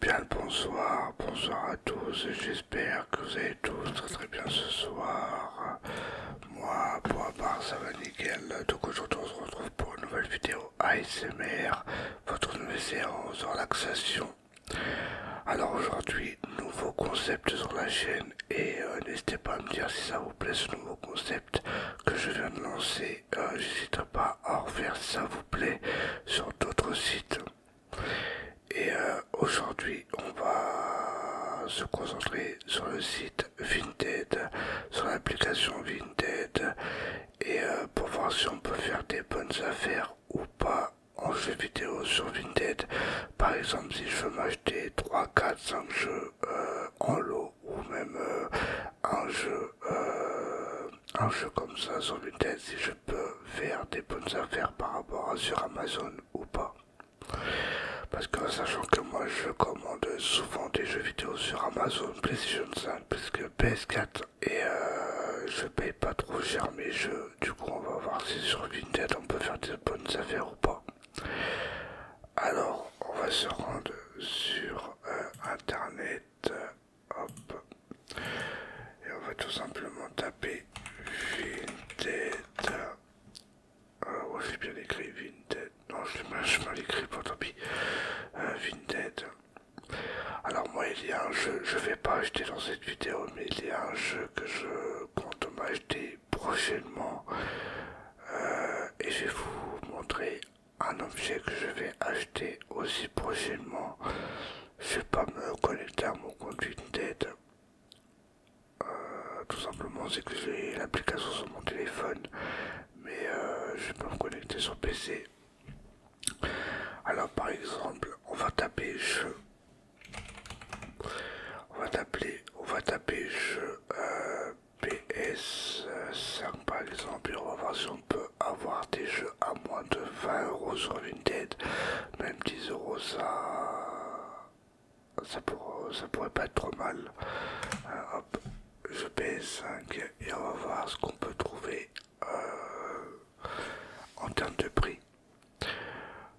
Bien le bonsoir, bonsoir à tous, j'espère que vous allez tous très très bien ce soir. Moi, pour ma part, ça va nickel. Donc aujourd'hui, on se retrouve pour une nouvelle vidéo ASMR, votre nouvelle séance de relaxation alors aujourd'hui, nouveau concept sur la chaîne et euh, n'hésitez pas à me dire si ça vous plaît ce nouveau concept que je viens de lancer. J'hésiterai euh, pas à refaire si ça vous plaît sur d'autres sites. Et euh, aujourd'hui, on va se concentrer sur le site Vinted, sur l'application Vinted et pour voir si on peut faire des bonnes affaires ou pas en jeux vidéo sur Vinted. Par exemple, si je veux m'acheter 3, 4, 5 jeux euh, en lot ou même euh, un jeu euh, un jeu comme ça sur Vinted, si je peux faire des bonnes affaires par rapport à sur Amazon ou pas. Parce que sachant que moi je commande souvent des jeux vidéo sur Amazon, PlayStation 5, PS4 et je paye pas trop cher mes jeux euh, du coup on va voir si sur Vinted on peut faire des bonnes affaires ou pas. Alors on va se rendre sur euh, internet, euh, hop, et on va tout simplement taper Vinted. Oh, je j'ai bien écrit Vinted. Non, je l'ai mal, écrit, bon tant pis. Vinted. Alors, moi, il y a un je vais pas acheter dans vidéo, mais il y a un jeu que je compte m'acheter prochainement euh, et je vais vous montrer un objet que je vais acheter aussi prochainement. Je vais pas me connecter à mon compte Vinted. Euh, tout simplement, c'est que j'ai l'application sur mon téléphone, mais euh, je vais pas me connecter sur PC. Alors, par exemple, on va taper jeu. On va taper, jeu euh, PS5 euh, par exemple et on va voir si on peut avoir des jeux à moins de 20€ sur Vinted. Même 10 euros, ça, pourrait pas être trop mal. Euh, jeu PS5 et on va voir ce qu'on peut trouver en termes de prix.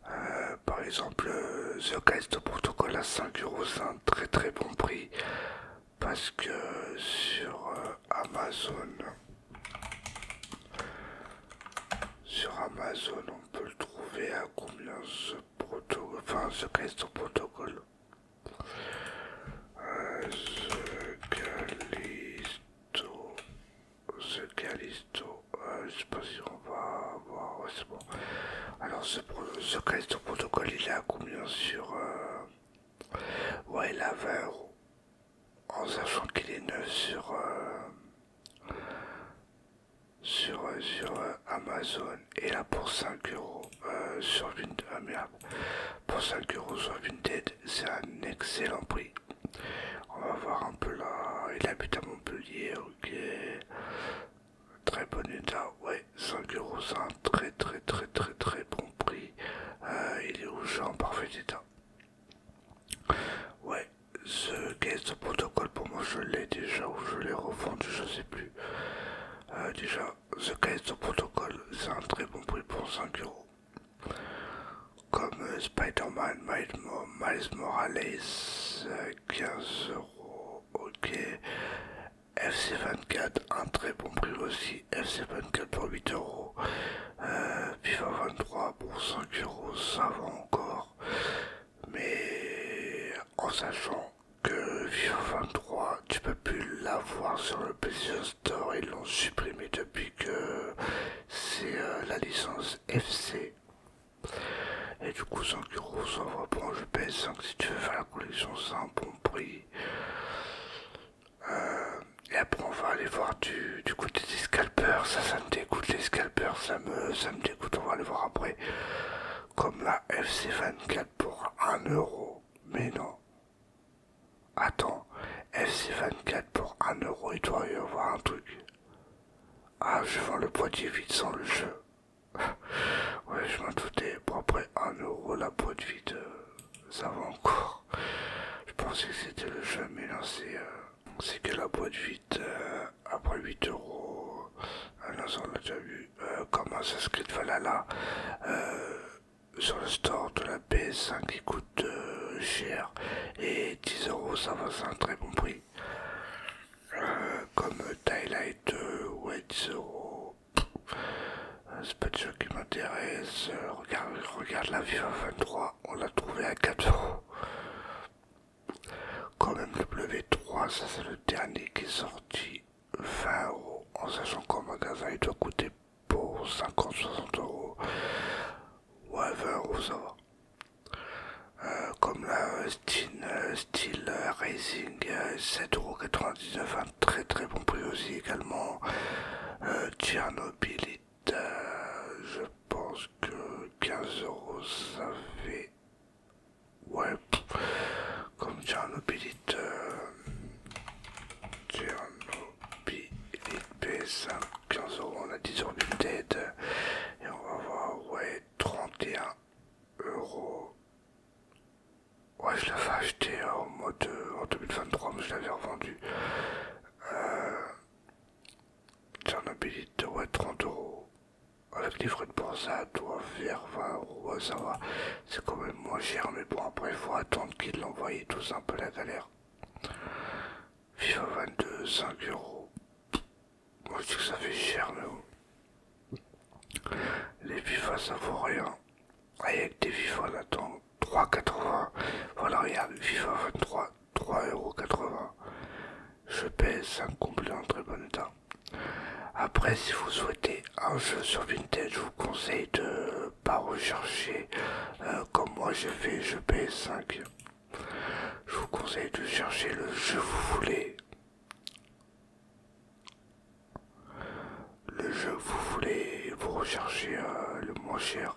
Euh, par exemple, euh, The Callisto Protocol à 5€ c'est un très très bon prix parce que sur euh, Amazon, sur Amazon, on peut le trouver à combien ce protocole, enfin ce Callisto Protocol ce Calisto, euh, je sais pas si on va voir, bon. Alors ce, ce Callisto protocole il est à combien sur... Euh, ouais il a 20 euros. En sachant qu'il est neuf sur... Euh, sur, sur Amazon et là pour 5 euros sur Vinted, ah, pour 5 euros sur Vinted, c'est un excellent prix. On va voir un peu là. Il habite à Montpellier, ok. Très bon état, ouais. 5 euros, c'est un très très très très très bon prix. Euh, il est au en parfait état. Ouais, ce caisse de protocole pour moi je l'ai déjà ou je l'ai revendu, je sais plus. Euh, déjà, ce caisse de protocole, c'est un très bon prix pour 5 euros comme euh, Spider-Man, Miles Morales, 15 euh, ok. FC24, un très bon prix aussi, FC24 pour 8 euros. Euh, FIFA 23 pour 5 euros, ça va encore. Mais en sachant que FIFA 23, tu peux plus l'avoir sur le PlayStation ils l'ont supprimé depuis que c'est euh, la licence FC. Et du coup 5 euros, ça va bon je pèse 5 si tu veux faire la collection, c'est un bon prix. Euh, et après on va aller voir du, côté des scalpers, ça ça me dégoûte les scalpers, ça me, ça me dégoûte, on va aller voir après. Comme la FC24 pour 1 euro, mais non. Attends, FC24 pour 1 euro il doit y avoir un truc. Ah, je vends le boîtier vide sans le jeu. ouais, je m'en doutais. Pour après 1€, la boîte vide, euh, ça va encore. Je pensais que c'était le jeu, mais non, c'est euh, que la boîte vide euh, après 8€... euros. Ah non, ça on l'a déjà vu. comment ça se crée de sur le store de la PS5 qui coûte euh, cher et 10 euros ça va un très bon prix. Euh, comme Twilight, euh, ouais 10 euros C'est pas de tout qui m'intéresse. regarde, regarde la Viva 23, on l'a trouvé à euros Quand même le W3, ça c'est le dernier qui est sorti 20 euros en sachant qu'en magasin il doit coûter pour 50, 60 euros ou 20 euros, ça va. Euh, comme la euh, Steel euh, Racing 7,99€ un très très bon prix aussi également euh, je pense que 15 euros ça fait ouais comme Tchernobylite Tchernobylite puis 5 15 euros, on a 10 euros de tête et on va voir, ouais, 31 euros. Ouais, je l'avais acheté euh, en mode en 2023, mais je l'avais revendu. Euh, Tchernobylite, ouais, 30 euros. Avec les de boursa, ça faire 20 euros, ça va. C'est quand même moins cher, mais bon, après, il faut attendre qu'il l'envoie tout simplement un peu la galère. Viva 22, 5 euros. Moi, je que ça fait cher, mais Les FIFA, ça vaut rien. Avec des FIFA, on attend 3,80. Voilà, regarde, FIFA 23, 3,80€. Je paie 5 complet en très bon état. Après, si vous souhaitez un jeu sur Vintage, je vous conseille de pas rechercher euh, comme moi j'ai fait je paye 5 je vous conseille de chercher le jeu vous voulez le jeu vous voulez vous recherchez euh, le moins cher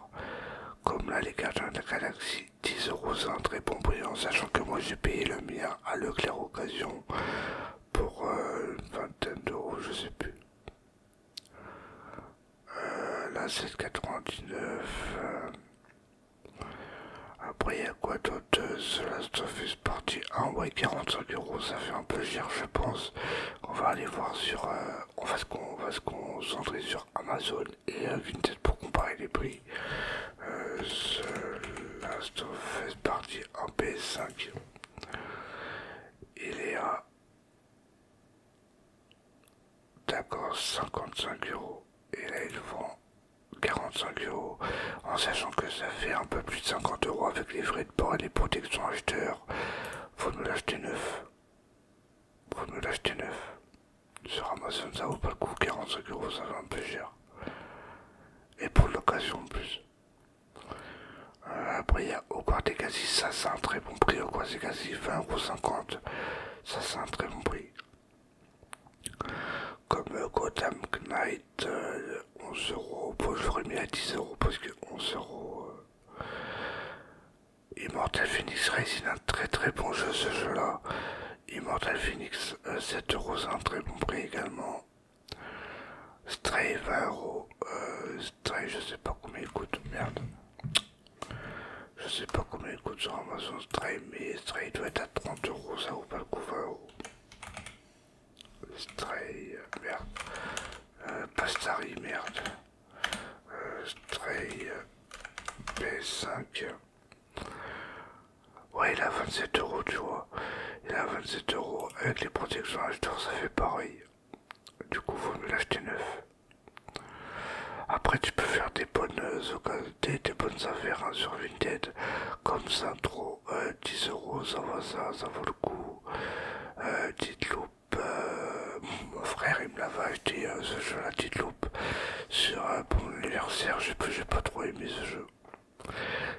comme là les gardiens de la galaxie euros un très bon prix sachant que moi j'ai payé le mien à Leclerc occasion pour euh, une vingtaine d'euros je sais plus euh, La 799 euh. Après, il y a quoi d'autre Ce euh, Last of Us Partie 1. Ouais, 45 euros, ça fait un peu cher, je pense. On va aller voir sur. On va se concentrer sur Amazon et Vinted pour comparer les prix. Ce Last of Us Partie 1 p 5 Il est à D'accord, 55 euros. Et là, ils vend 45 euros. En sachant que ça fait un peu plus de 50 euros avec les frais de port et les protections acheteurs. Faut nous l'acheter neuf. Faut nous l'acheter neuf. Sur Amazon, ça vaut pas le coup. 45 euros, ça va un peu cher. Et pour l'occasion en plus. Euh, après, il y a au ça c'est un très bon prix. Au quasi 50 Ça c'est un très bon prix. Comme euh, Gotham Knight, 11 euh, 11€. Bon, J'aurais mis à 10€ parce que 11€. Immortal Phoenix c'est un très très bon jeu ce jeu-là. Immortal Phoenix, 7 7€, un très bon prix également. Stray, 20€. Euh, Stray, je sais pas combien il coûte, merde. Je sais pas combien il coûte sur Amazon Stray, mais Stray doit être à 30 euros, ça vaut pas le coup Stray, merde. Euh, Pastari, merde. Euh, Stray P5. Ouais, il a 27 euros, tu vois. Il a 27 euros avec les protections ça fait pareil. Du coup, vaut mieux l'acheter neuf. Après, tu peux faire des bonnes des, euh, des bonnes affaires hein, sur Vinted, comme ça, trop 10 euh, euros, ça va, ça, ça vaut le coup. Euh, euh mon frère il me l'avait acheté ce jeu, la petite loupe, sur un bon mon anniversaire. J'ai pas, trop aimé ce jeu.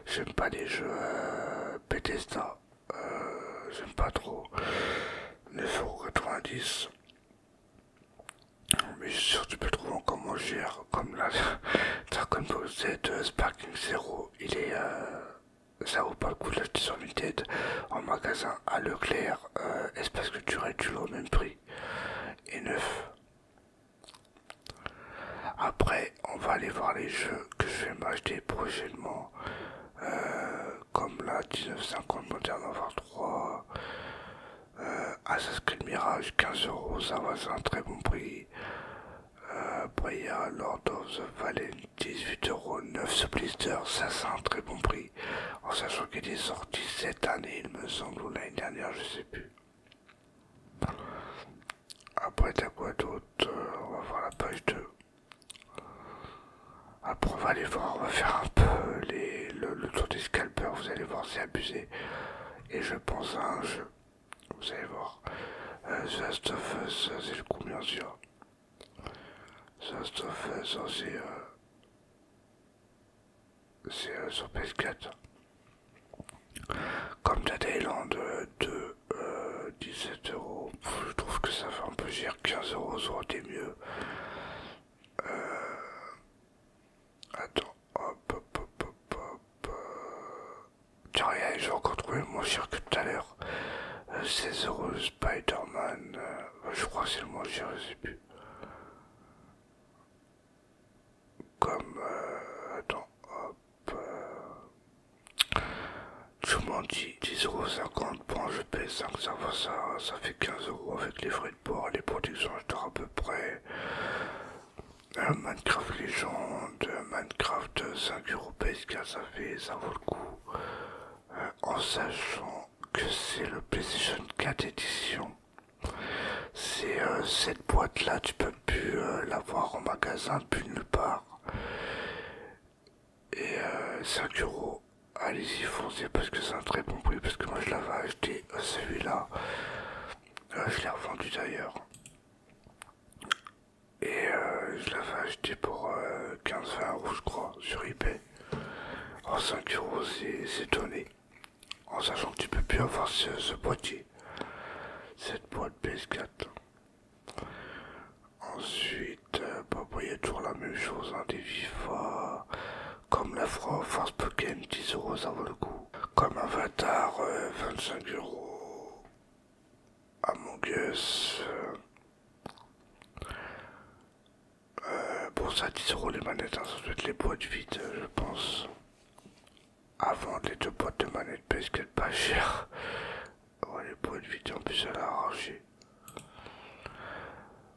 J'aime pas les jeux euh, j'aime pas trop 9,90€ mais je suis sûr que tu peux trouver encore moins cher comme la Dragon Ball Z euh, Sparking Zero il est euh, ça vaut pas le coup de l'acheter sur Vinted en magasin à Leclerc parce que tu l'avoir au même prix et neuf après on va aller voir les jeux que je vais m'acheter prochainement euh, comme la 1950 Modern Warfare 3, Assassin's Creed Mirage 15 euros, ça va, c'est un très bon prix. Euh, Lord of the Valley 18 euros, 9 ce blister, ça c'est un très bon prix. En sachant qu'il est sorti cette année, il me semble, ou l'année dernière, je sais plus. Après t'as quoi d'autre euh, On va voir la page 2. Après, on va aller voir, on va faire un peu le, tour des scalpers. Vous allez voir, c'est abusé. Et je pense à un jeu. Vous allez voir. Euh, The Last of c'est le coup, bien sûr. The Last of Us, c'est. Euh, euh, sur PS4. Comme The de 2, euh, 17 euros. je trouve que ça fait un peu cher. 15 euros, ça aurait été mieux. Euh, attends, hop, hop, hop, hop, hop. Euh, tiens, j'ai encore trouvé moins cher que tout à l'heure. 16 euh, euros Spiderman je crois c'est le moins cher, je sais plus. Comme. attends, hop. Tout le monde dit 10,50€. Bon, je paye 5, ça va, ça, ça fait 15€ avec les frais de port les protections. sont à peu près. Minecraft Légende, un Minecraft 5€ PS4, ça fait, ça vaut le coup. Euh, en sachant que c'est le PlayStation 4 édition. C'est euh, cette boîte là, tu peux plus euh, l'avoir en magasin, depuis nulle part. Et 5 euh, euros, allez-y foncez parce que c'est un très bon prix, parce que moi je l'avais acheté euh, celui-là. Euh, je l'ai revendu d'ailleurs. Et je l'avais acheté pour 15-20 euros je crois sur eBay. En 5 euros c'est étonné, En sachant que tu peux plus avoir ce, ce boîtier. Cette boîte PS4. Ensuite, euh, bah, bah, il y a toujours la même chose, hein, des FIFA, comme la France, Force Pokémon, 10€ ça vaut le coup. Comme Avatar, 25€, euh, 25 euros. Among Us. Euh, bon, ça, 10€ les manettes, hein, ça doit être les boîtes vides, je pense. Avant les deux boîtes de manettes, parce qu'elles pas chères les points de vidéo en plus, elle a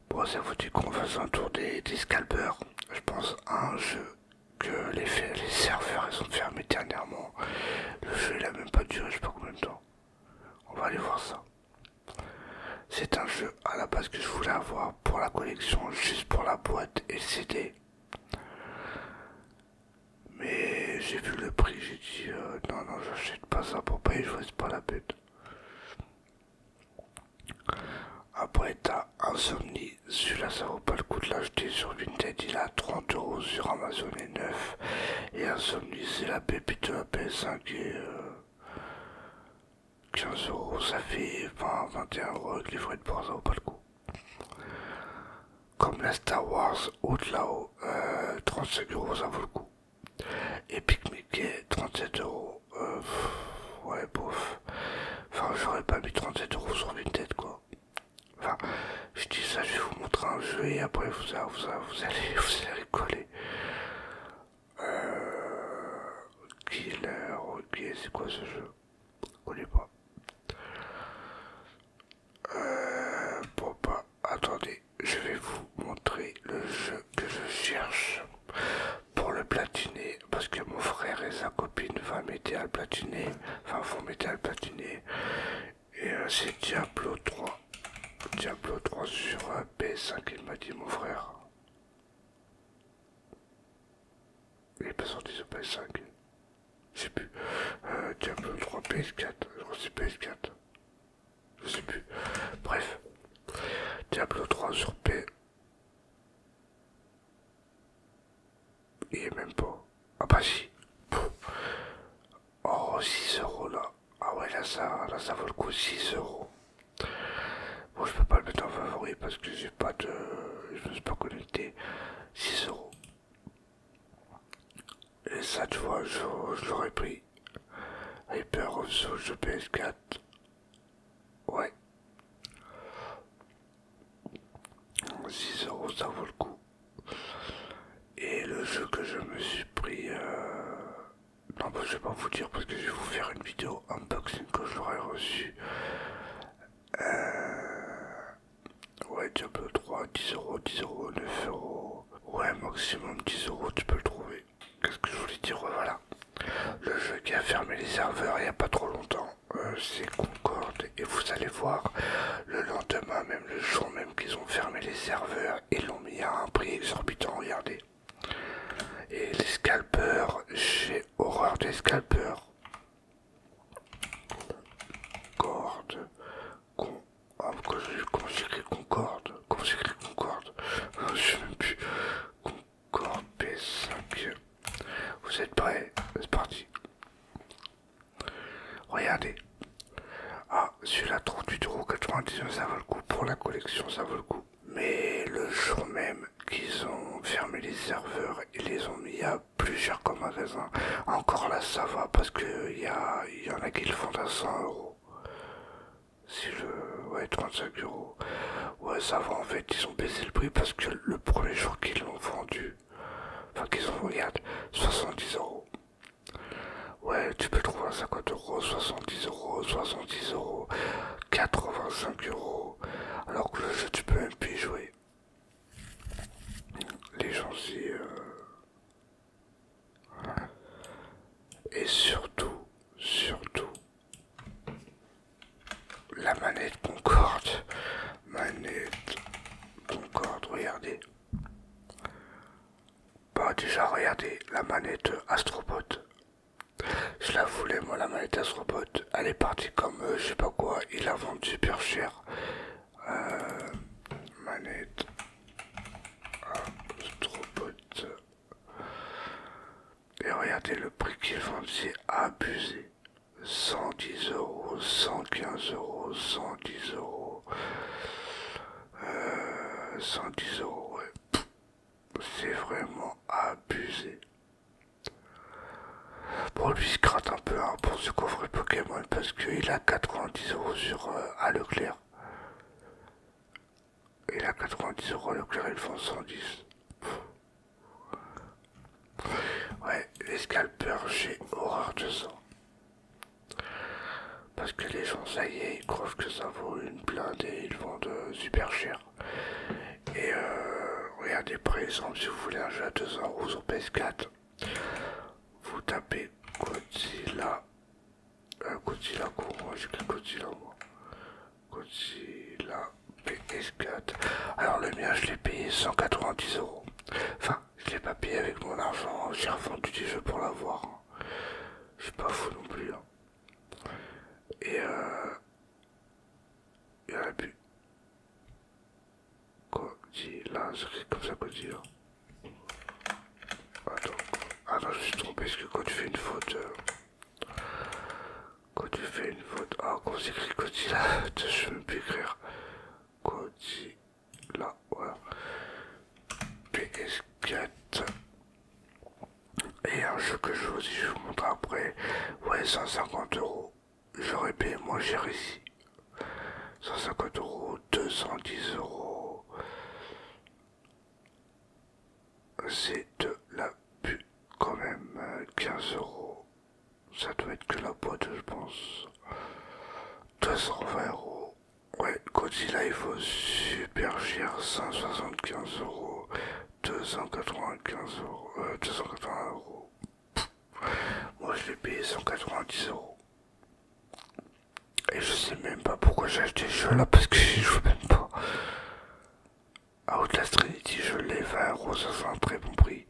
Bon, ça vous dit qu'on fasse un tour des, des scalpers. Je pense un jeu que les, serveurs ils ont fermé dernièrement. Le jeu il a même pas duré je sais pas combien de temps. On va aller voir ça. C'est un jeu à la base que je voulais avoir pour la collection, juste pour la boîte et le CD. Mais j'ai vu le prix, j'ai dit euh, non, non, j'achète pas ça pour payer, je reste pas la bête. Après, t'as Insomnie, celui-là ça vaut pas le coup de l'acheter sur Vinted, il a 30 euros sur Amazon et 9. Et Insomnie, c'est la pépite de la PS5 et 15€ euh, ça fait 21€ avec les frais de port, ça vaut pas le coup comme la Star Wars Outlaw, euh, 35 euros ça vaut le coup. Epic Mickey, 37 euros. Euh, ouais, bof. Enfin, j'aurais pas mis 37 euros sur une tête quoi. Enfin, je dis ça, je vais vous montrer un jeu et après vous, vous, allez vous allez coller. Euh, killer, ok, c'est quoi ce jeu On connais pas. Euh, bon bah, attendez, je vais vous montrer le jeu que je cherche pour le platiner, parce que mon frère et sa copine vont m'aider à le platiner, enfin vont m'aider à le platiner, et euh, c'est Diablo 3, Diablo 3 sur euh, PS5, il m'a dit mon frère. Il est pas sorti sur PS5. Je sais plus. Euh, Diablo 3 PS4. c'est PS4. Je sais plus. Bref. Diablo 3 sur P. Il est même pas. Ah bah si. Oh 6 euros là. Ah ouais là ça, vaut le coup 6 euros. Bon je peux pas le mettre en favori parce que j'ai pas de. Je me suis pas connecté. 6 euros. Et cette fois, je, l'aurais pris. Hyper of PS4. Ouais. 6 euros, ça vaut le coup. Et le jeu que je me suis pris... Euh, non, bah, je vais pas vous dire parce que je vais vous faire une vidéo unboxing que je l'aurais reçu. Euh, Ouais, Diablo 3, 10 euros, 10 euros, 9 euros. Ouais, maximum 10 euros, tu peux le trouver. Qu'est-ce que je voulais dire Voilà. Le jeu qui a fermé les serveurs il n'y a pas trop longtemps, euh, c'est Concorde. Et vous allez voir, le lendemain, même le jour même qu'ils ont fermé les serveurs, ils l'ont mis à un prix exorbitant, regardez. Et les scalpeurs, j'ai horreur des scalpeurs. Concorde. Ah, comment j'écris Concorde Comment j'écris Concorde Je ne sais même plus. Concorde P5. Vous êtes prêts C'est parti. Regardez. Ah, celui-là, 99, ça vaut le coup. Pour la collection, ça vaut le coup. Mais le jour même qu'ils ont fermé les serveurs, ils les ont mis à plus cher comme magasin. Encore là, ça va parce qu'il y, a, y en a qui le font à 100 euros. Si je. Ouais, 35 euros. Ouais, ça va en fait, ils ont baissé le prix parce que le premier jour qu'ils l'ont vendu, enfin qu'ils ont, regarde, 70 euros. Ouais, tu peux trouver à 50 euros, 70 euros, 70 euros, 85 euros. Alors que le jeu, tu peux même plus jouer les gens et surtout, surtout la manette Concorde, manette Concorde, regardez. Bah déjà regardez la manette Astrobot. Je la voulais moi la manette Astrobot. Elle est partie comme euh, je sais pas quoi. Il l'a vendue super cher. Euh, manette. trop Et regardez le prix qu'ils vendent, c'est abusé. 110 euros, 115 euros, 110 euros. 110 euh, euros, C'est vraiment abusé. pour lui, il peu hein, pour ce couvrir Pokémon parce qu'il a 90 euros sur euh, à Leclerc. Il a 90 euros à Leclerc, ils font 110. Ouais, les scalpers j'ai horreur de ça. Parce que les gens, ça y est, ils croient que ça vaut une blinde et ils vendent euh, super cher. Et euh, regardez par exemple si vous voulez un jeu à 200 euros sur PS4, vous tapez Godzilla. Euh, Godzilla, moi j'ai pris Godzilla moi Godzilla PS4. Alors le mien, je l'ai payé 190 euros. Enfin, je l'ai pas payé avec mon argent. J'ai revendu des jeux pour l'avoir. Hein. Je suis pas fou non plus. Hein. Et euh, Il y en a plus. Codila, c'est comme ça dire Attends, ah non, je me suis trompé parce que quand tu fais une faute, quand euh. tu fais une faute, ah quand écrit là je peux plus écrire Codila, voilà. PS4 et un jeu que je vous, je vous montre après, ouais 150 euros j'aurais payé moins cher ici. 150 euros, 210 euros. C'est de la pub quand même. 15 euros. Ça doit être que la boîte, je pense. 220 euros. Ouais, Godzilla, il faut super cher. 175 euros. 295 euros. 280 euh, euros. Moi je vais payer 190 euros. Et je sais même pas pourquoi j'ai acheté ce jeu là parce que je joue même pas. Outlast Trinity, je l'ai 20 euros, ça c'est un très bon prix.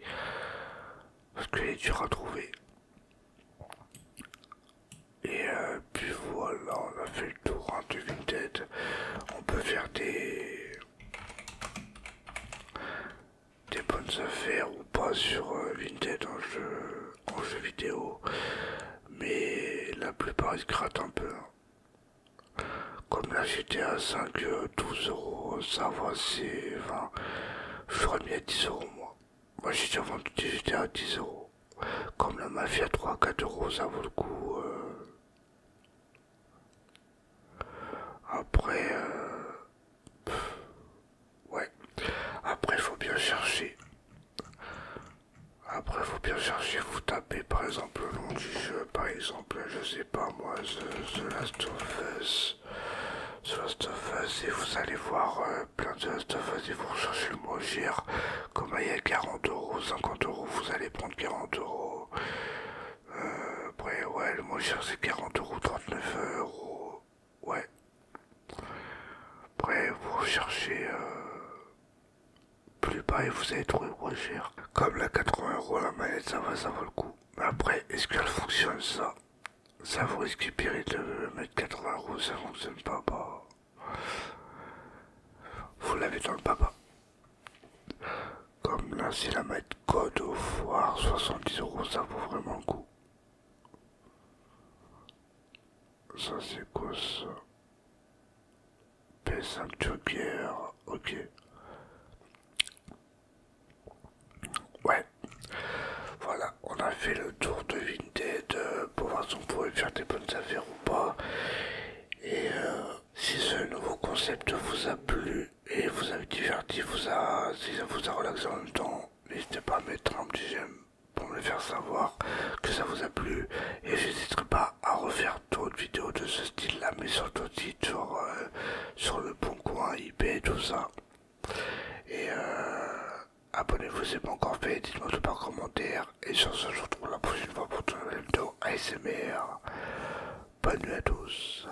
Parce qu'il est dur à trouver. Et euh, puis voilà, on a fait le tour de Vinted On peut faire des des bonnes affaires ou pas sur euh, Vinted en jeu, en vidéo, mais la plupart ils grattent un peu. Hein. Comme la à 5, 12 euros, ça va, c'est. je serais mis à 10 euros moi. Moi j'ai déjà vendu des GTA à 10 euros. Comme la Mafia 3, 4 euros, ça vaut le coup. Euh. Après, euh, ouais. Après, faut bien chercher. Après, faut bien chercher. Vous tapez par exemple le nom du jeu. Par exemple, je sais pas moi, The, Last of Us. The Last of Us. Et vous allez voir euh, plein de The Last of Us. Et vous recherchez le mot GR. Comme il y a 40 euros, 50 euros. Vous allez prendre 40 euros. Euh, après, ouais, le mot c'est 40 euros, 39 euros. Ouais. Après, vous cherchez euh, plus bas et vous allez trouver moins cher. Comme la 80 euros la manette, ça va, ça vaut le coup. Mais après, est-ce qu'elle fonctionne ça Ça vous risque de mettre 80 euros, ça fonctionne pas. Bah. Vous l'avez dans le papa. Comme là, c'est la manette code au foire, 70 euros, ça vaut vraiment le coup. Ça c'est quoi P5 Joker, ok. Ouais, voilà, on a fait le tour de Vinted euh, pour voir si on pouvait faire des bonnes affaires ou pas. Et euh, si ce nouveau concept vous a plu, et vous avez diverti, vous si ça vous a relaxé en même temps, n'hésitez pas à mettre un petit j'aime pour me faire savoir que ça vous a plu et n'hésiterai pas à refaire d'autres vidéos de ce style là mais surtout sur, euh, sur le bon coin IP et tout ça et euh, abonnez-vous si c'est pas encore fait dites moi tout par commentaire et sur ce je vous retrouve la prochaine fois pour une nouvelles vidéo ASMR bonne nuit à tous